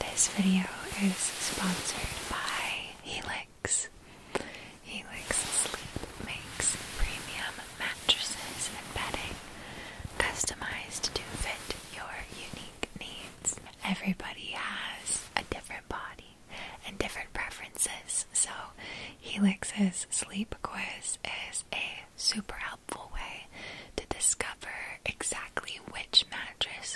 This video is sponsored by Helix. Helix Sleep makes premium mattresses and bedding customized to fit your unique needs. Everybody has a different body and different preferences, so Helix's sleep quiz is a super helpful way to discover exactly which mattress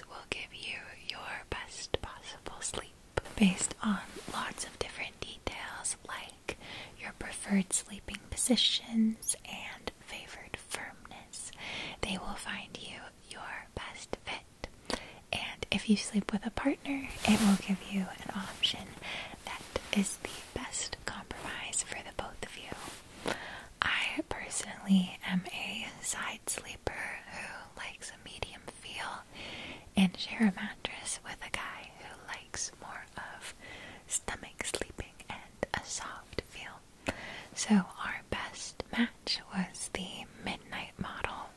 will give you your best possible sleep based on lots of different details like your preferred sleeping positions and favored firmness. They will find you your best fit. And if you sleep with a partner, it will give you an option that is the best compromise for the both of you. I personally am a side sleeper who likes a medium feel and share a mattress with a guy who likes more of stomach sleeping and a soft feel. So, our best match was the midnight model.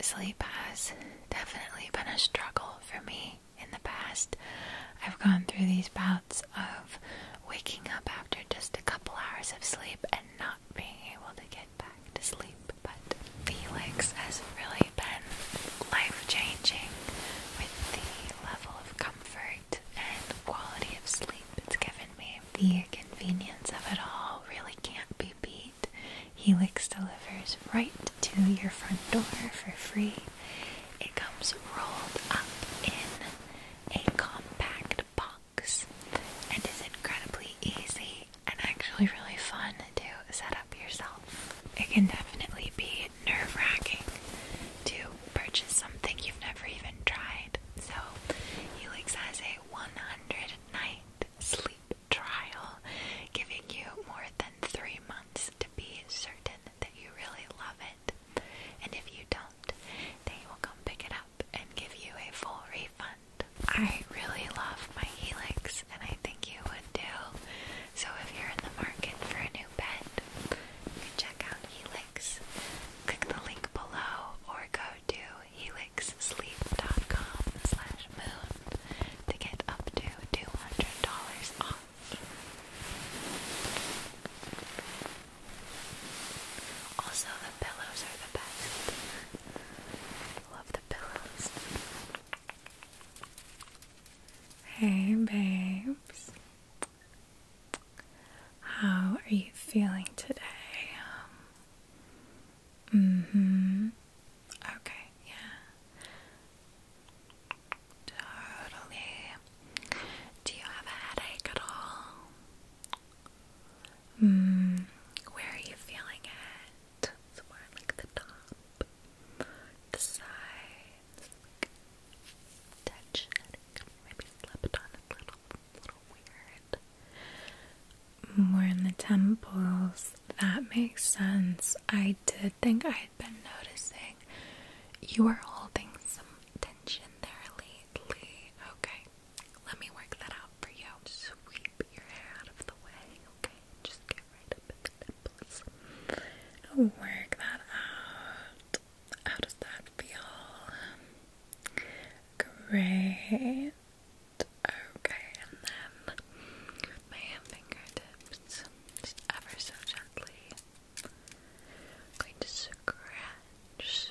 Sleep has definitely been a struggle for me in the past. I've gone through these bouts of waking up after just a couple hours of sleep and not being able to get back to sleep. But Felix has really been life changing with the level of comfort and quality of sleep it's given me. The convenience of it all really can't be beat. Helix delivers right to your front door for free. It comes rolled up in a compact box and incredibly easy and actually really fun to set up yourself. It can definitely be nerve wracking to purchase something you've never even tried. So, Helix has a 100 night sleep trial, giving you more than three months to be certain that you really love it. And if you don't, they will come pick it up and give you a full refund. I really love my Helix and I think you would too. So if you're in the market for a new bed, you can check out Helix. Click the link below or go to helixsleep.com slash moon to get up to $200 off. Also, the pillows are the best. Love the pillows. Hey, babes. How are you feeling today? Um, mm Okay, yeah. Totally. Do you have a headache at all? Hmm, where are you feeling it? Somewhere like the top, the sides, touch Maybe slept on a little, little weird. More in the temples. That makes sense. I did think I had been noticing you were holding some tension there lately. Okay, let me work that out for you. Sweep your hair out of the way, okay? Just get right up the nipples. Work that out. How does that feel? Great. Okay, and then my fingertips, just ever so gently. going to scratch,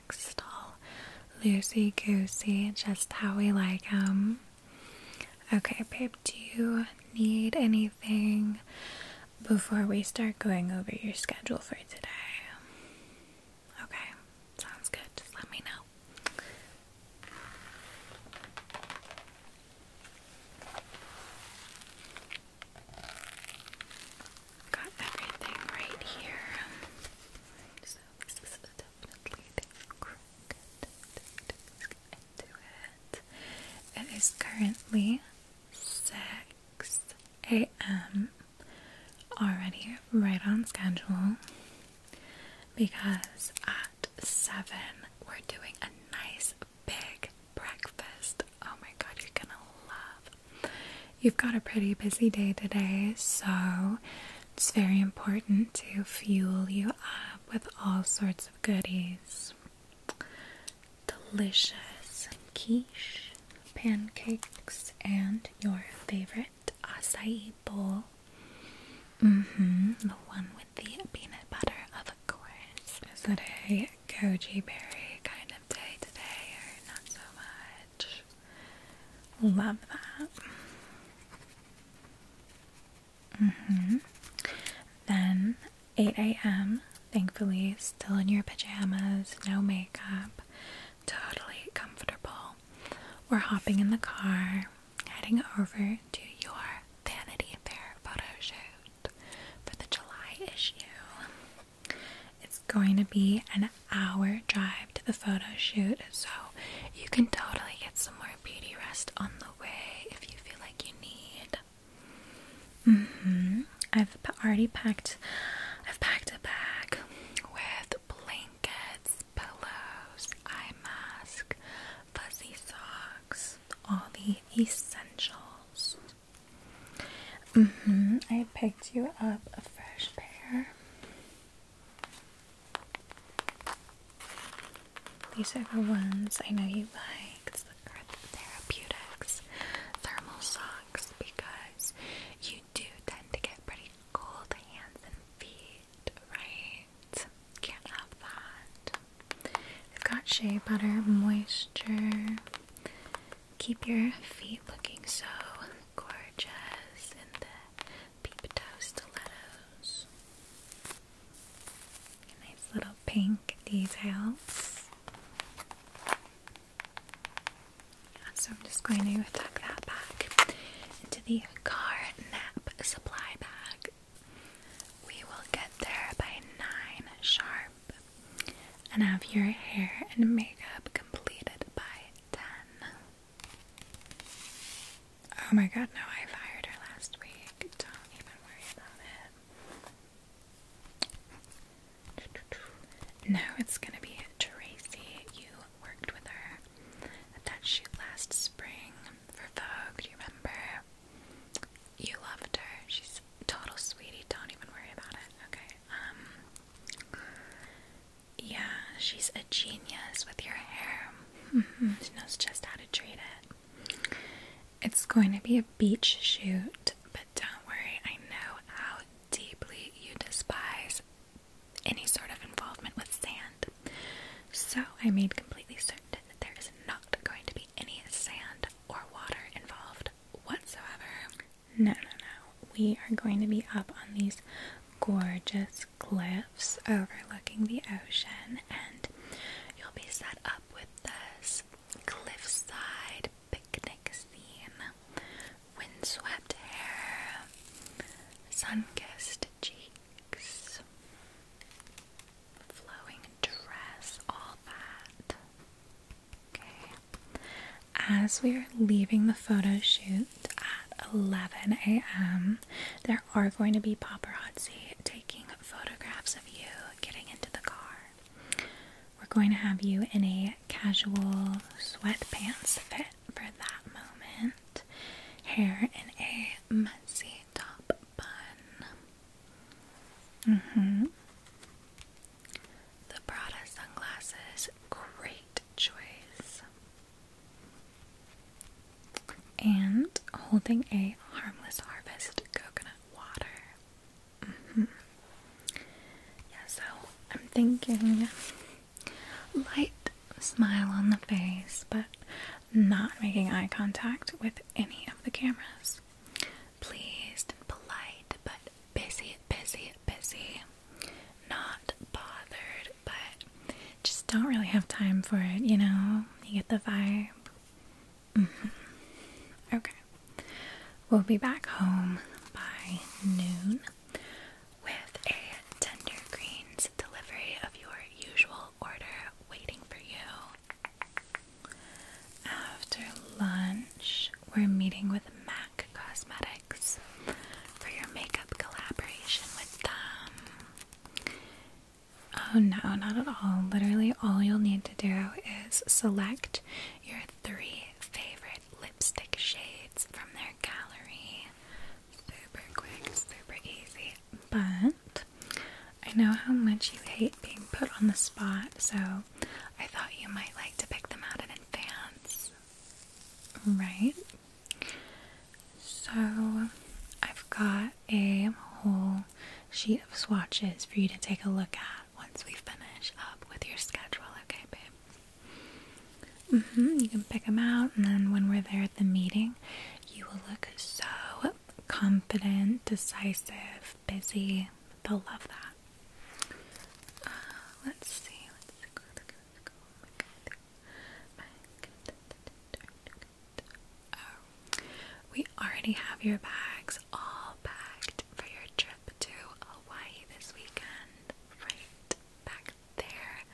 relaxed, Lucy goosey, just how we like them. Okay, babe, do you need anything before we start going over your schedule for today? Okay, sounds good. let me know. Got everything right here. So this is definitely the crooked into it. It is currently 6 a.m. Already right on schedule because at 7 we're doing a nice big breakfast. Oh my god, you're gonna love You've got a pretty busy day today, so it's very important to fuel you up with all sorts of goodies. Delicious quiche, pancakes, and your favorite acai bowl. Mm-hmm, the one with the peanut butter, of course. Is it a goji berry kind of day today, or not so much? Love that. Mm-hmm. Then 8 a.m. Thankfully, still in your pajamas, no makeup, totally comfortable. We're hopping in the car, heading over to your Vanity Fair photo shoot for the July issue. It's going to be an hour drive to the photo shoot, so you can totally get some more beauty rest on the way if you feel like you need. Mm-hmm. I've already packed. I've packed a bag with blankets, pillows, eye mask, fuzzy socks, all the essentials. Mm hmm I picked you up a fresh pair. These are the ones I know you like. It's the Therapeutics thermal socks because you do tend to get pretty cold hands and feet, right? Can't have that. They've got shea butter, moisture, keep your feet looking so gorgeous in the peep toe stilettos. Nice little pink details. so I'm just going to tuck that back into the car nap supply bag. We will get there by nine sharp and have your hair and makeup completed by oh my god, no, I fired her last week. Don't even worry about it. No, it's gonna be Tracy. You worked with her at that shoot last spring for Vogue. Do you remember? You loved her. She's total sweetie. Don't even worry about it. Okay. Um, yeah, she's a genius with your hair. Mm-hmm. she knows just how to treat it. It's going to be a beach shoot, but don't worry, I know how deeply you despise any sort of involvement with sand. So I made completely certain that there is not going to be any sand or water involved whatsoever. No, no, no. We are going to be up on these gorgeous cliffs overlooking the ocean, and you'll be set up with this cliffside picnic scene. Windswept hair, sun kissed cheeks, flowing dress, all that. Okay. As we are leaving the photo shoot, at 11 a.m. There are going to be paparazzi taking photographs of you getting into the car. We're going to have you in a casual sweatpants fit for that moment, hair in a messy top bun. Mm-hmm. The Prada sunglasses, great right choice. And holding a harmless harvest coconut water. Mm -hmm. Yeah, so I'm thinking light smile on the face, but not making eye contact with any of the cameras. Pleased and polite, but busy, busy, busy not bothered, but just don't really have time for it, you know? You get the vibe. Mm-hmm. Okay. We'll be back home by noon with a Tender Greens delivery of your usual order waiting for you. After lunch, we're meeting with Mac. Cosmetics for your makeup collaboration with them. Oh no, not at all. Literally, all you'll need to do is select your three favorite lipstick shades from their gallery. Super quick, super easy. But I know how much you hate being put on the spot, so I thought you might like to pick them out in advance right? So I've got a whole sheet of swatches for you to take a look at once we finish up with your schedule, okay, babe? hmm You can pick them out, and then when we're there at the meeting, you will look so confident, decisive, busy. They'll love that. Uh, let's see. Let's go. Oh, we already have your bags all packed for your trip to Hawaii this weekend, right back there,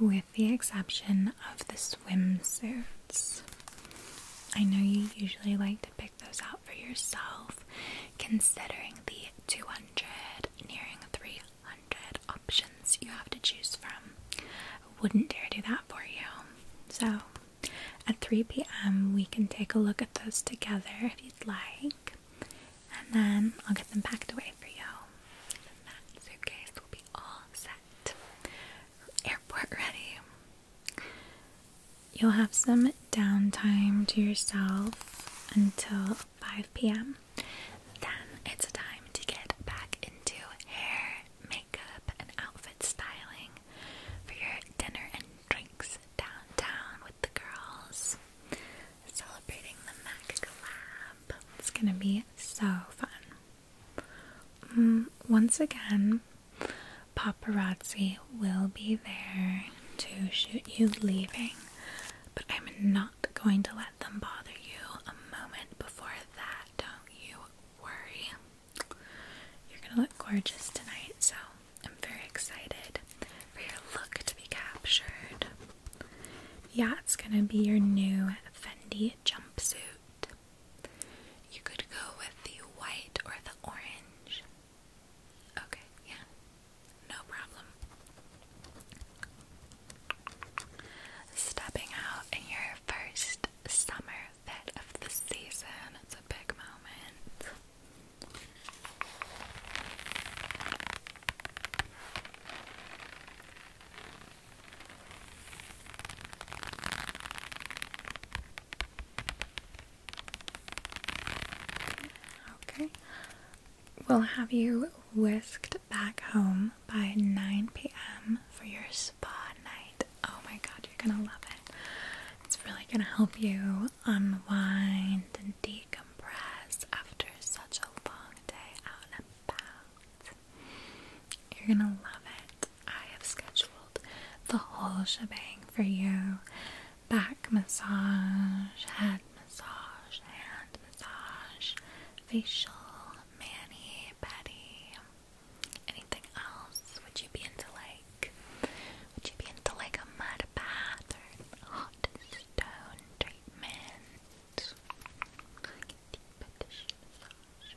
with the exception of the swimsuits. I know you usually like to pick those out for yourself, considering the 200, nearing 300 hundred options you have to choose from. I wouldn't dare do that for you. So at 3 p.m. we can take a look at those together if you'd like. And then I'll get them packed away for you. And that suitcase will be all set. Airport ready. You'll have some downtime to yourself until 5 p.m., then it's time to get back into hair, makeup, and outfit styling for your dinner and drinks downtown with the girls. Celebrating the MAC collab. It's gonna be so fun. Mm, once again, paparazzi will be there to shoot you leaving, but I'm not going to let them bother you a moment before that. Don't you worry. You're gonna look gorgeous tonight, so I'm very excited for your look to be captured. Yeah, it's gonna be your new Fendi jumpsuit. You could go with the white or the orange. Okay, yeah, no problem. Stepping out in your first summer of the season, it's a big moment. Okay, we will have you whisked back home by 9 p.m. for your spa night. Oh my god, you're gonna love it. It's really gonna help you unwind and decompress after such a long day out and about. You're gonna love it. I have scheduled the whole shebang for you back massage, head massage, hand massage, facial, mani, petty. Anything else? Would you be into like? Would you be into like a mud bath hot stone treatment? deep dish massage,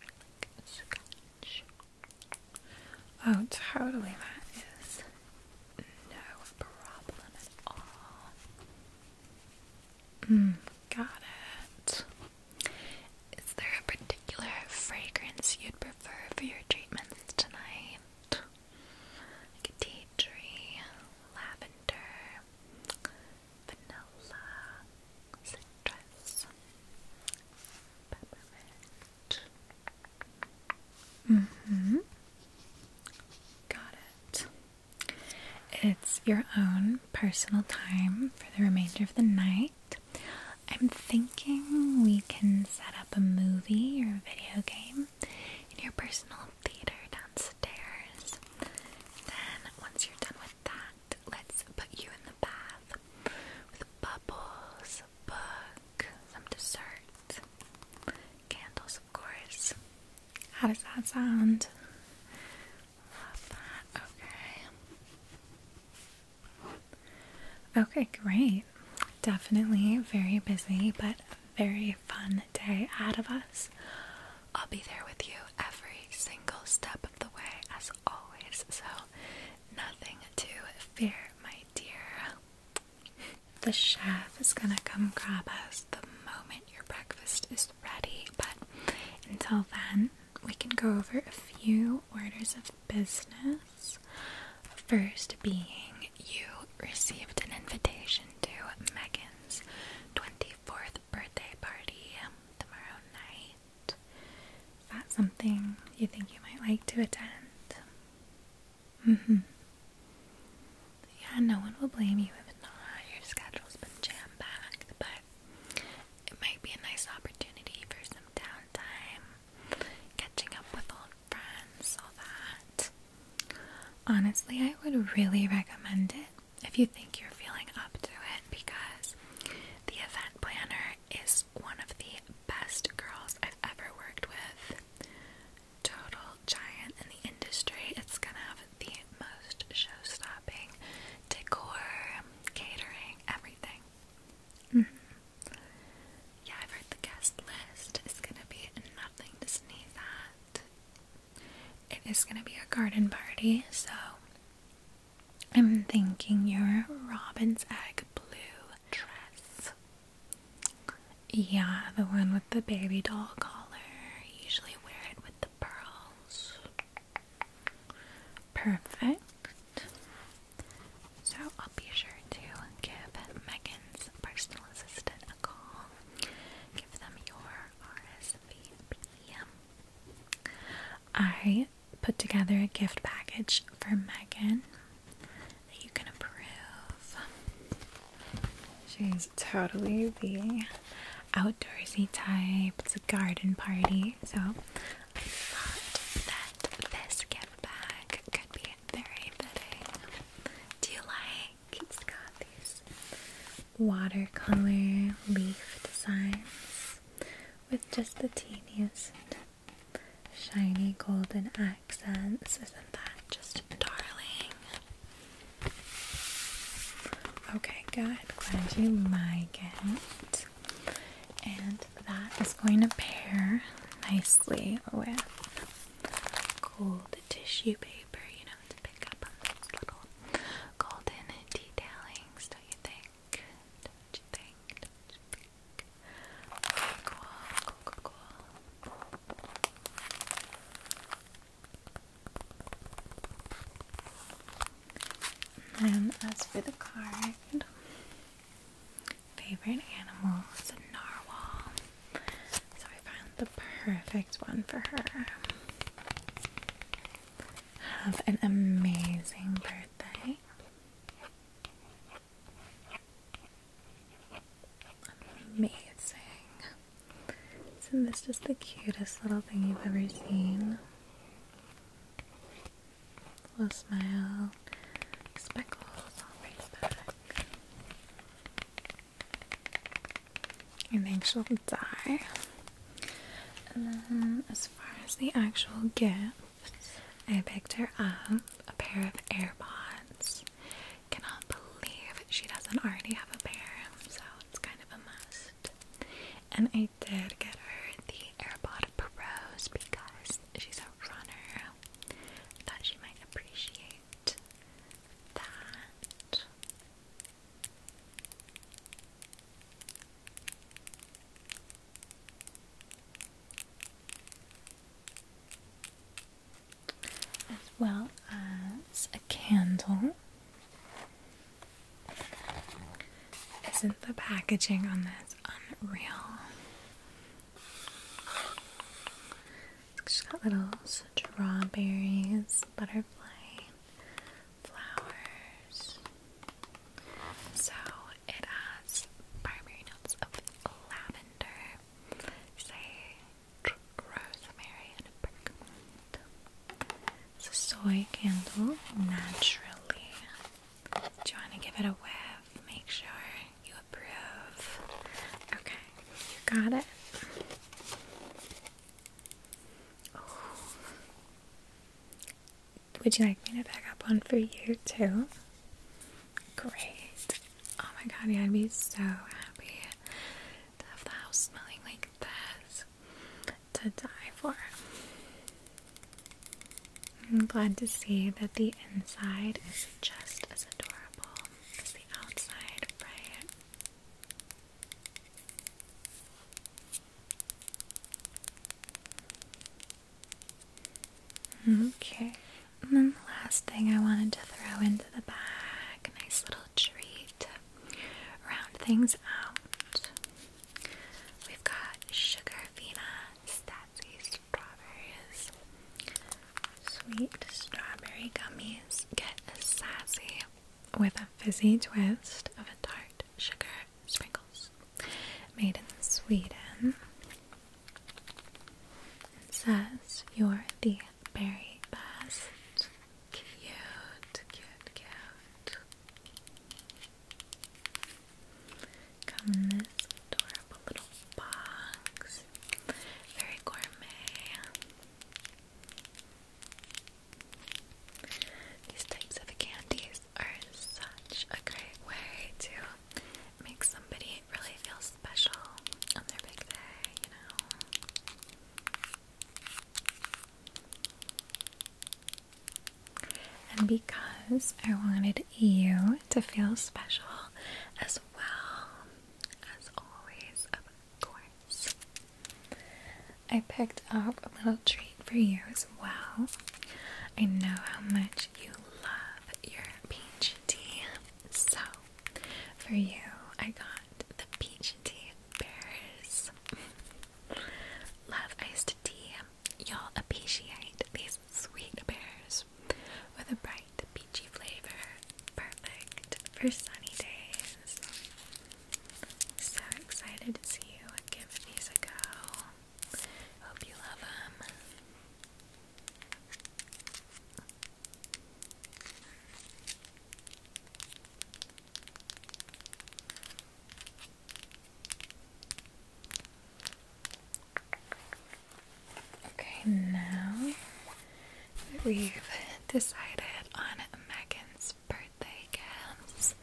Oh, totally. That is no problem at all. Mm, got it. Is there a particular fragrance you'd prefer for your treatments tonight? tea tree, lavender, vanilla, citrus, peppermint. Mm hmm. Got it. It's your own personal time for the remainder of the night. I'm thinking we can set up a movie or a video game in your personal theater downstairs. Then, once you're done with that, let's put you in the bath with bubbles, a book, some dessert, candles, of course. How does that sound? Love that. Okay. Okay, great. Definitely very busy, but very fun day out of us. I'll be there with you every single step of the way, as always. So, nothing to fear, my dear. The chef is gonna come grab us the moment your breakfast is ready, but until then, we can go over a few orders of business. First, being you received an invitation to Megan's 24th birthday party tomorrow night. Is that something you think you might like to attend? Mm hmm yeah, no one will blame you if not. Your schedule's been jammed back. but it might be a nice opportunity for some downtime, catching up with old friends, all that. Honestly, I would really recommend it if you think you're feeling up to it because the event planner is one of the best girls I've ever worked with. Total giant in the industry. It's gonna have the most show stopping decor, catering, everything. Mm-hmm. Yeah, i heard the guest list is gonna be nothing to sneeze at. It is gonna be a garden party, so I'm thinking your robin's egg blue dress. Yeah, the one with the baby doll collar. usually wear it with the pearls. Perfect. So I'll be sure to give Megan's personal assistant a call. Give them your RSVP. I put together a gift package for Megan that you can approve. She's totally the outdoorsy type. It's a garden party, so I thought that this gift bag could be very fitting. Do you like? It's got these watercolor leaf designs with just the teeniest shiny golden accents. Isn't that just darling? Okay, good. Glad you like it. And that is going to pair nicely with gold tissue paper, you know, to pick up those little golden detailings, don't you think? Don't you think? Don't you think? cool, cool, cool, cool. And as for the card, favorite animal is narwhal. So I found the perfect one for her. Have an amazing birthday. Amazing. Isn't this just the cutest little thing you've ever seen? Little smile, speckles on his back. You think she'll die? And then, as far as the actual gifts, I picked her up a pair of AirPods. Cannot believe she doesn't already have a pair, so it's kind of a mess. And I did get her the AirPod Pros because she's a runner. I thought she might appreciate that. As well as a candle. Isn't the packaging on this unreal? It's just got little strawberries, butterfly, flowers. So it has primary notes of lavender, sage, rosemary, and bergamot. It's a soy candle, naturally. Do you want to give it a whiff? Make sure you approve. Okay, you got it. Would you like me to pick up one for you too? Great. Oh my god, yeah, I'd be so happy to have the house smelling like this to die for. I'm glad to see that the inside is just as adorable as the outside, right? Okay, and then the last thing I wanted to throw into the bag nice little treat. Round things out. We've got sugar Vena strawberries. Sweet strawberry gummies. Get sassy with a fizzy twist of a tart sugar sprinkles. Made in Sweden. It says you're the berry best. Cute, cute, cute. Come in this adorable little box. Very gourmet. These types of candies are such a great way to make somebody really feel special on their big day, you and because I wanted you to feel special as well, as always, of course, I picked up a little treat for you as well. I know how much you love your peach tea, so for you, I got the peach tea bears. Love iced tea. you all appreciate these sweet pears with a bright peachy flavor. Perfect for sunny days. So excited to see you give these a go. Hope you love them. Okay, now we've decided on Megan's birthday gifts.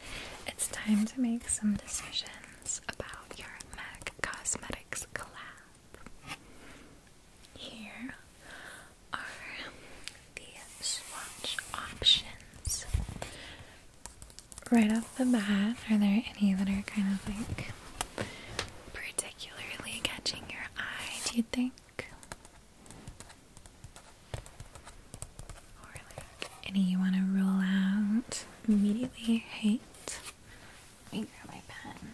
It's time to make some decisions about your MAC Cosmetics collab. Here are the swatch options. Right off the bat, are there any that are kind of like particularly catching your eye, do you think? any you want to roll out immediately hate? Let me grab my pen.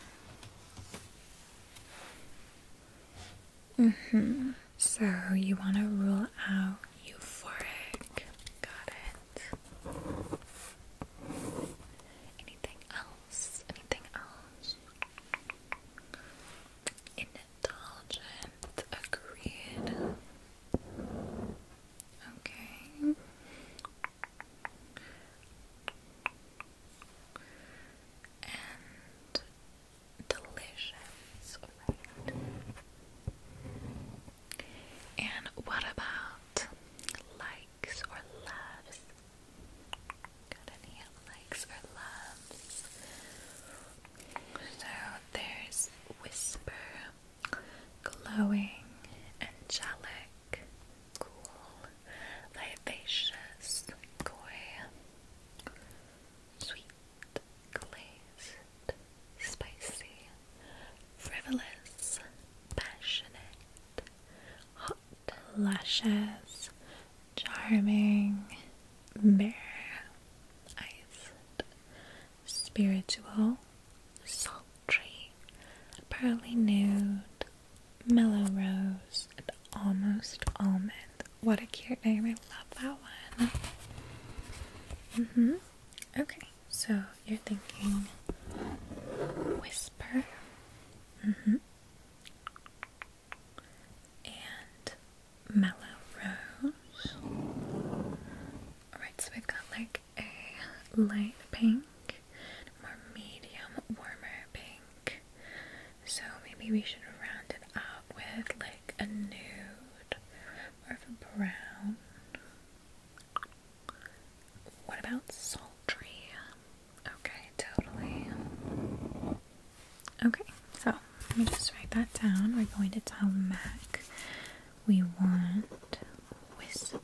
Mm hmm. So you want to rule out euphoric. Got it. Anything else? Anything else? Indulgent. Agreed. Okay. And delicious, And what about likes or loves? Got any likes or loves? So there's whisper, glowing, angelic, cool, vivacious, coy, sweet glazed, spicy, frivolous, passionate, hot lashes, charming, bare, iced, spiritual, sultry, pearly nude, mellow rose, and almost almond. What a cute name. I love that one. Mm-hmm. Okay, so you're thinking whisper. Mm-hmm. And mellow rose. Alright, so we've got like a light pink, more medium, warmer pink. So maybe we should round it up with like like a nude, more a brown. What about sultry? Okay, totally. Okay, so let me just write that down. We're going to tell Mac we want whisper,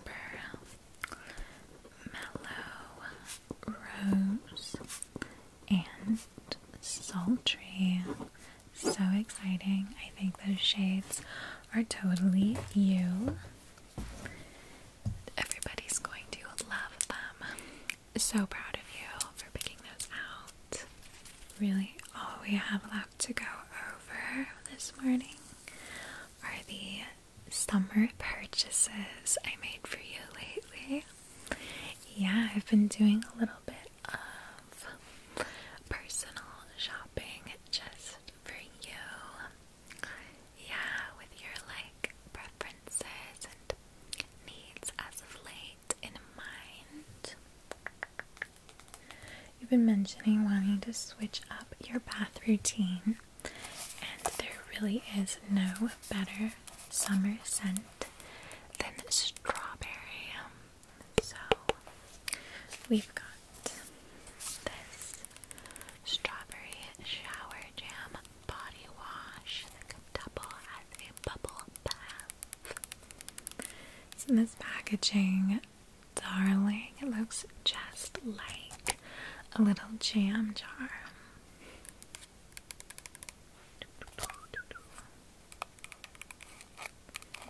mellow, rose, and sultry so exciting. I think those shades are totally you. Everybody's going to love them. So proud of you for picking those out. Really, all we have left to go over this morning are the summer purchases I made for you lately. Yeah, I've been doing a little bit of personal shopping just for you. Yeah, with your like preferences and needs as of late in mind. You've been mentioning wanting to switch up your bath routine, and there really is no better summer scent than strawberry. So we've got this strawberry shower jam body wash that could double as a bubble bath. It's in this packaging, darling. It looks just like a little jam jar.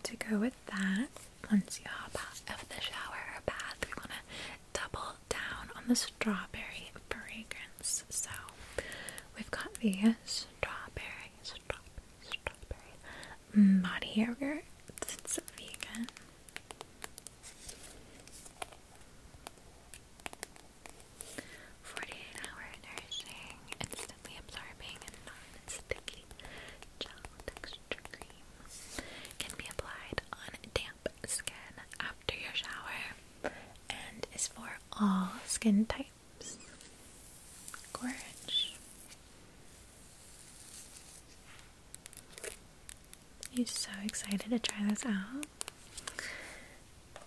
To go with that, once you hop out of the shower or bath, we want to double down on the strawberry fragrance. So we've got the strawberry, strawberry, strawberry body yogurt. It's vegan. Forty-eight hour nursing instantly absorbing, and non-sticky gel texture cream can be applied on damp skin after your shower and is for all skin types. I'm so excited to try this out.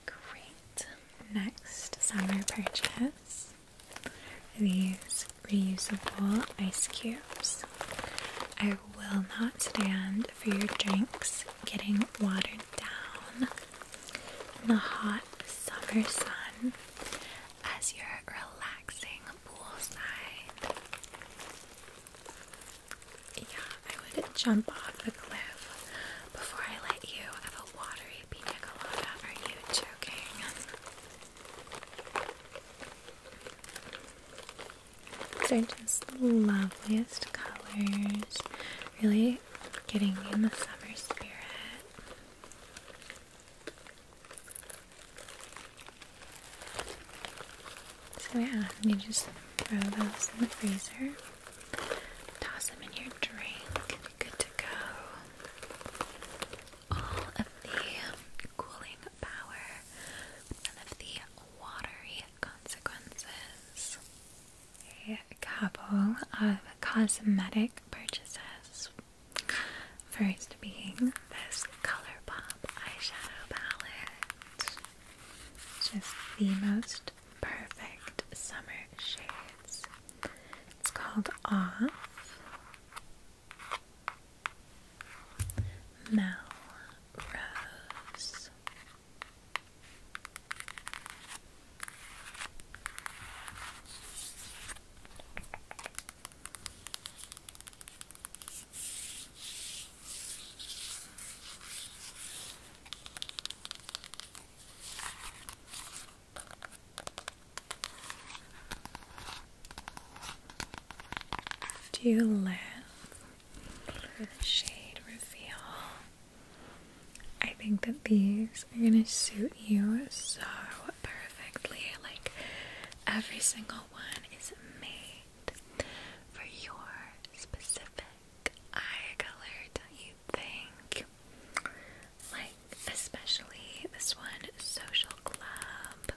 Great. Next summer purchase these reusable ice cubes. I will not stand for your drinks getting watered down in the hot summer sun as you're relaxing poolside. Yeah, I would jump off a cliff before I let you have a watery pina Are you joking? These are just the loveliest colors. Really getting me in the summer spirit. So yeah, you just throw those in the freezer. Toss them in your drink. Good to go all of the cooling power, none of the watery consequences. A couple of cosmetic purchases. First being this ColourPop eyeshadow palette. Just the most perfect summer shades. It's called Off Melrose. Do you live the shade reveal? I think that these are gonna suit you so perfectly. Like every single one is made for your specific eye color, don't you think? like especially this one social club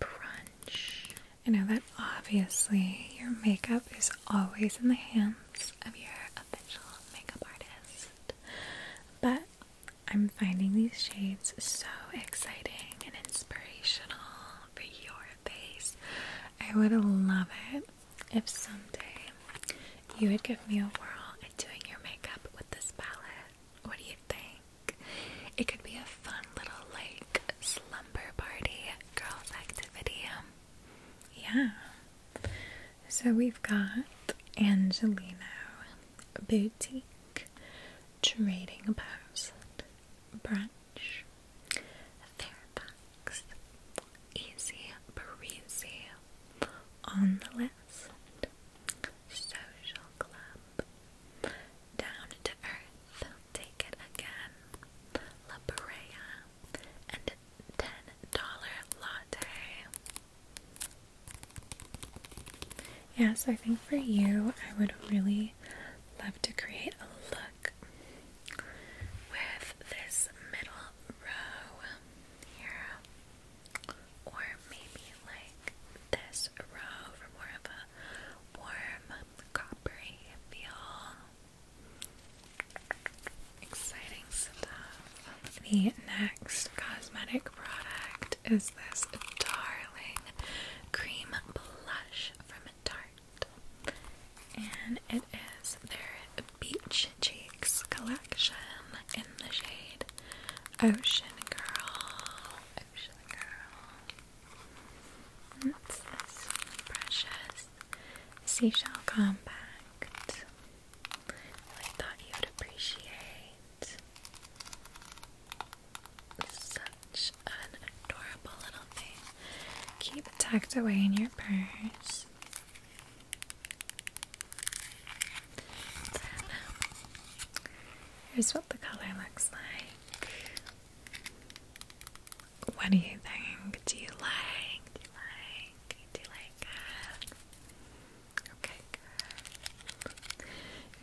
brunch I know that obviously your makeup is always in the hands of your official makeup artist but I'm finding these shades so exciting and inspirational for your face. I would love it if someday you would give me a whirl at doing your makeup with this palette. What do you think? It could be a fun little like slumber party girls activity. Yeah. So we've got Angelino, Boutique, Trading Post, Brunch, Fairfax, Easy Breezy, On the List, Social Club, Down to Earth, Take It Again, La and $10 Latte. Yeah, so I think for you, I would really love to create a look with this middle row here. Or maybe like this row for more of a warm, coppery feel. Exciting stuff. The next cosmetic product is this darling cream blush from Tarte. And it is their Beach Cheeks collection in the shade Ocean Girl. Ocean Girl. What's this? Precious Seashell Compact. I thought you'd appreciate such an adorable little thing. Keep it tucked away in your purse. Here's what the color looks like. What do you think? Do you like? Do you like? Do you like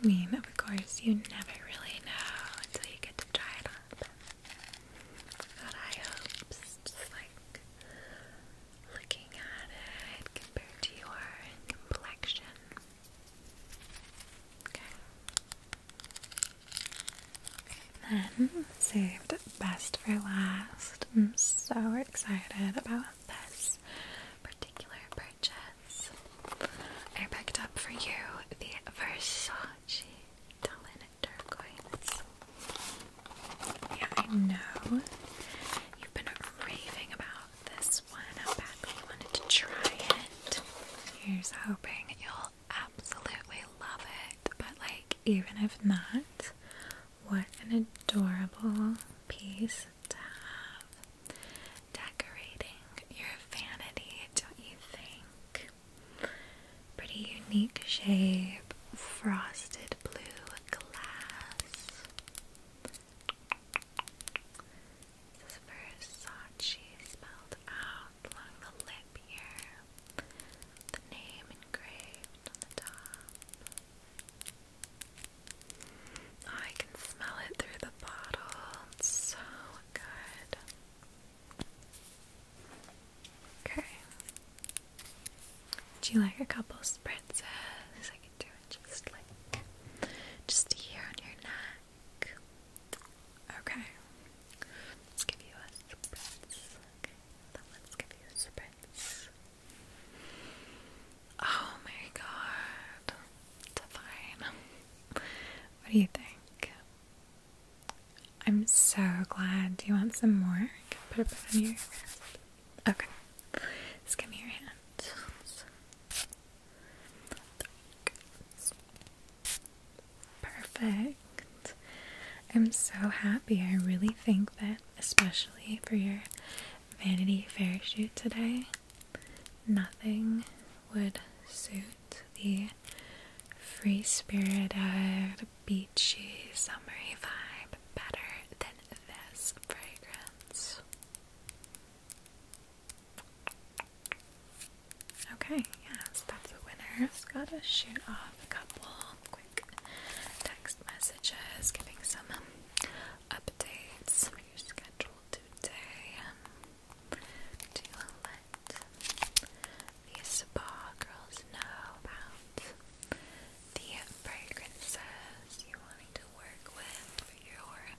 I mean, of course, you never really know until you get to try it on. Got high hopes, just like looking at it compared to your complexion then saved best for last. I'm so excited about this particular purchase. I picked up for you the Versace Dullin Turquoise. Yeah, I know you've been raving about this I badly wanted to try it. Here's hoping you'll absolutely love it. But, like, even if not, what an adorable piece to have decorating your vanity, don't you think? Pretty unique shape, frosted blue glass. This is Versace spelled out along the lip here. The name engraved on the top. I can smell it through the bottle. so good. Okay. Do you like a couple spritzes? I do it just like just here on your neck. Okay. Let's give you a spritz. Okay, then let's give you a spritz. Oh my god. Divine. What do you think? I'm so glad. Do you want some more? Put it on your Okay. Just give me your hand. Perfect. I'm so happy. I really think that, especially for your Vanity Fair shoot today, nothing would suit the free spirited, beachy, summery vibe better than this fragrance. Okay, yeah, that's the winner. Just gotta shoot off a couple quick text messages, giving some updates on your schedule today. Um, let the spa girls know about the fragrances you're to work with for your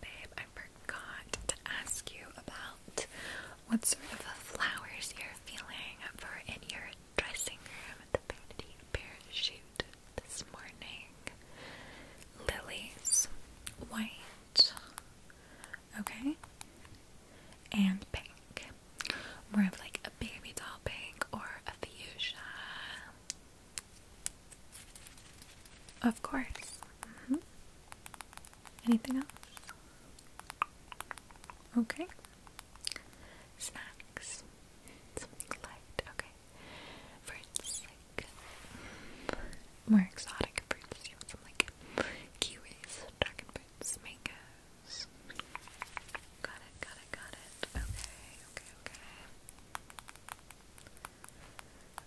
babe, I forgot to ask you about what sort of flowers you're feeling for in your dressing room at the Vanity Parachute this morning. Lilies, white, okay, and pink. More of like a baby doll pink or a fuchsia, of course. Mm-hmm. Anything else? Okay. Snacks. Something light. Okay. Fruits more exotic fruits. You have some like kiwis, dragon fruits, mangoes. Got it. Got it. Got it. Okay. Okay. Okay.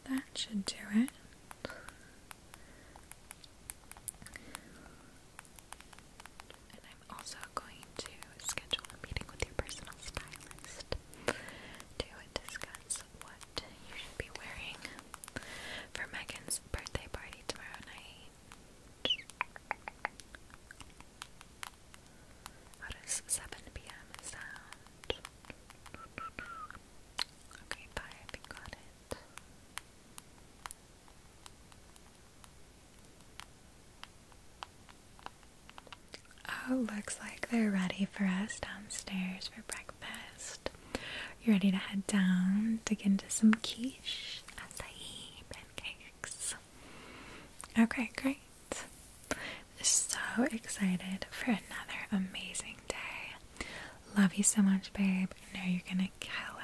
That should do it. I'm also going to schedule a meeting with your personal stylist to discuss what you should be wearing for Megan's birthday party tomorrow night. How does 7 p.m. sound? Okay, bye, got it. Oh, looks like they're ready for us downstairs for breakfast. You ready to head down, dig into some quiche, acai, pancakes? Okay, great. So excited for another amazing day. Love you so much, babe. I know you're gonna kill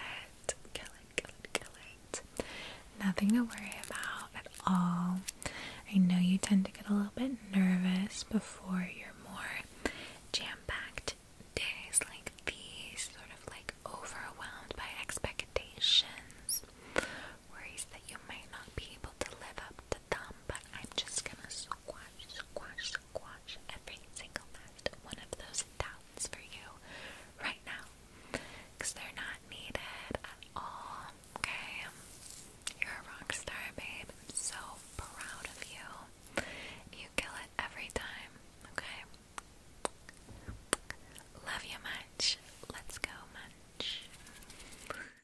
it. Kill it, kill it, kill it. Nothing to worry about at all. I know you tend to get a little bit nervous before your more jam packed days like these, sort of like overwhelmed by expectations, worries that you might not be able to live up to them, but I'm just gonna squash, squash, squash every single last one of those doubts for you right now. they're not needed at all, okay? You're a rock babe. I'm so proud of you. You kill it every time, okay? Love you much. Let's go, much.